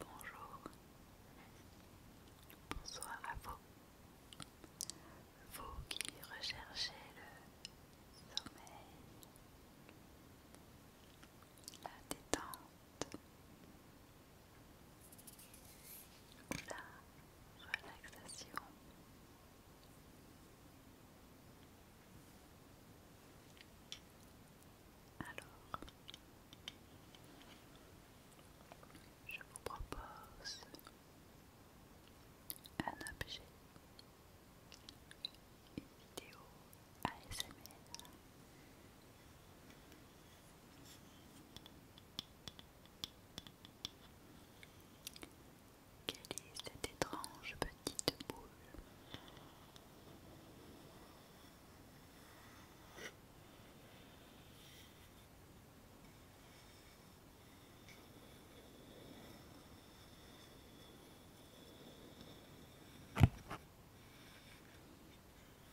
Bonjour, bonsoir à vous, vous qui recherchez le sommeil, la détente la relaxation. Alors, je vous propose un objet, une vidéo quelle est cette étrange petite boule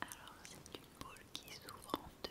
Alors c'est une boule qui s'ouvre en deux.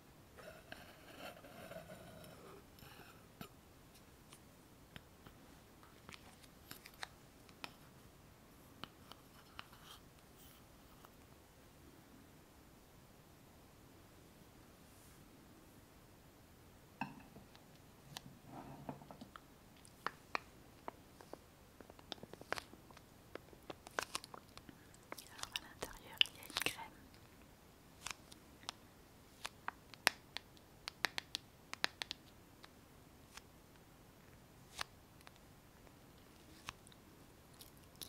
Alors à l'intérieur il y a une crème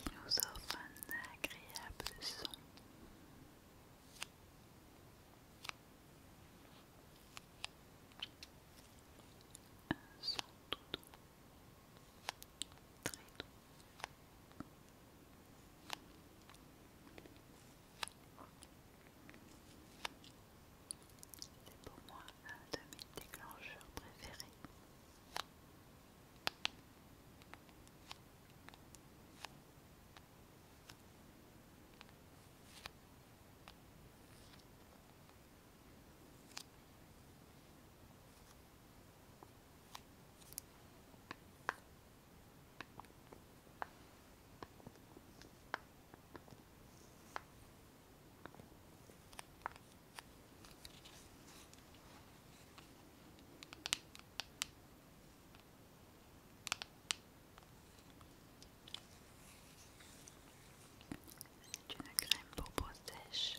qui nous offre un agréable son. Un son tout doux, très doux. C'est pour moi un de mes déclencheurs préférés. C'est une crème pour peau sèche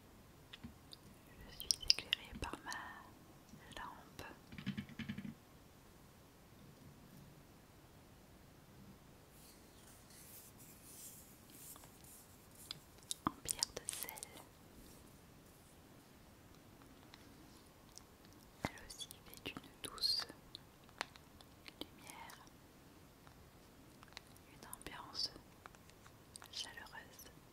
Je suis éclairée par ma lampe. En pierre de sel. Elle aussi fait une douce lumière, une ambiance chaleureuse.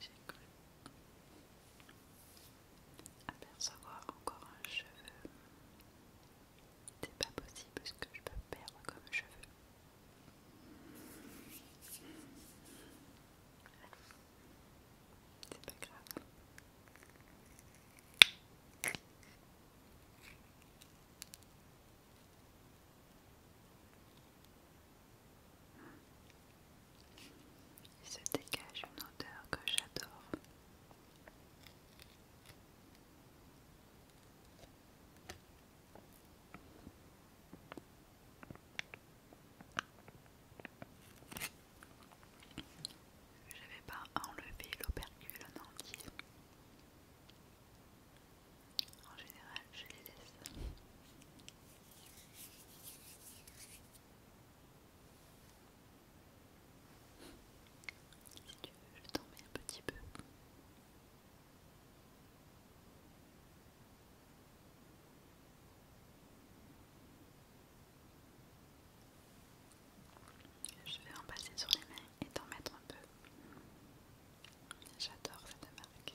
J'ai cru apercevoir encore un cheveu. C'est pas possible ce que je peux perdre comme cheveux. C'est pas grave. Il se dégage une odeur que j'adore. Je n'avais pas enlevé l'opercule en entier. En général, je les laisse. Si tu veux, je t'en un petit peu. Je vais en passer sur les mains et t'en mettre un peu. J'adore cette marque.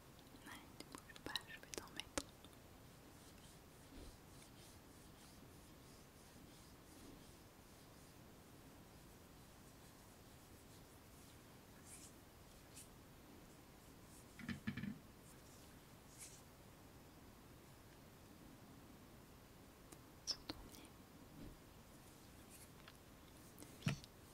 Non, ne bouge pas, je vais t'en mettre.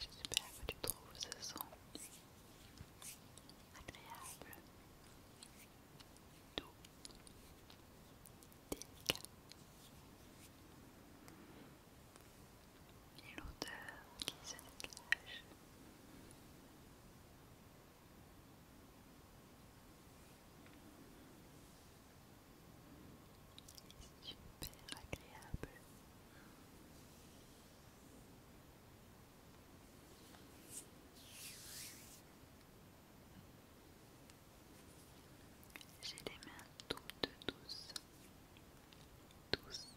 J'espère que tu trouves ce son agréable, doux, délicat. Et l'odeur qui se dégage. Super agréable. J'ai les mains toutes douces, douces,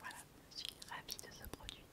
Voilà, je suis ravie de ce produit.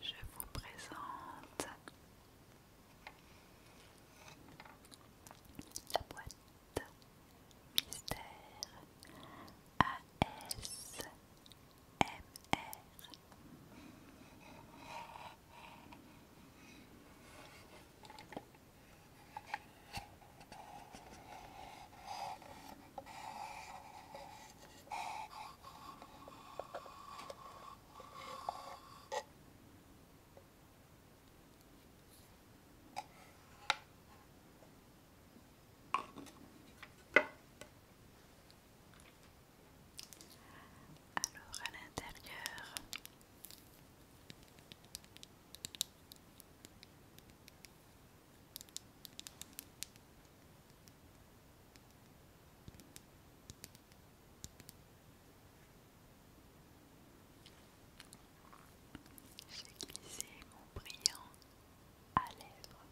Je vous présente la boîte mystère ASMR. Alors à l'intérieur, j'ai glissé mon brillant à lèvres.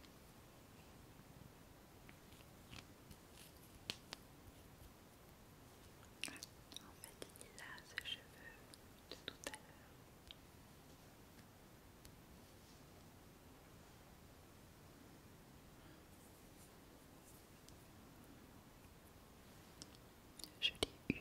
En fait, il a ce cheveu de tout à l'heure. Je l'ai eu.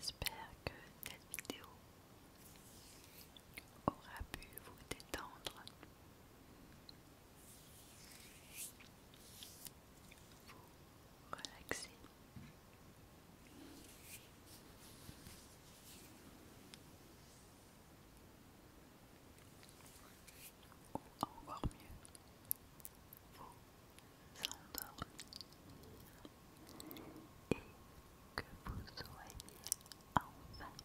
J'espère que cette vidéo aura pu vous détendre vous relaxez Ou encore mieux, vous endormir et que vous soyez enfin endormi.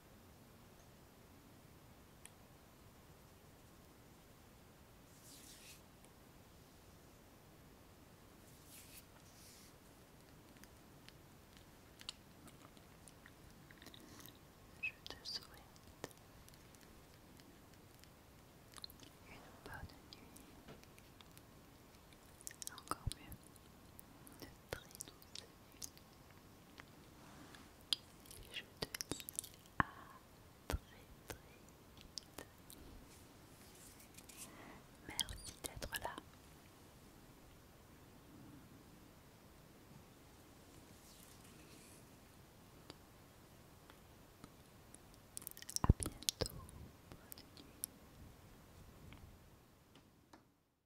Je te souhaite une bonne nuit, encore mieux, de très douce. Je te dis à très très vite. Merci d'être là. À bientôt. Bonne nuit.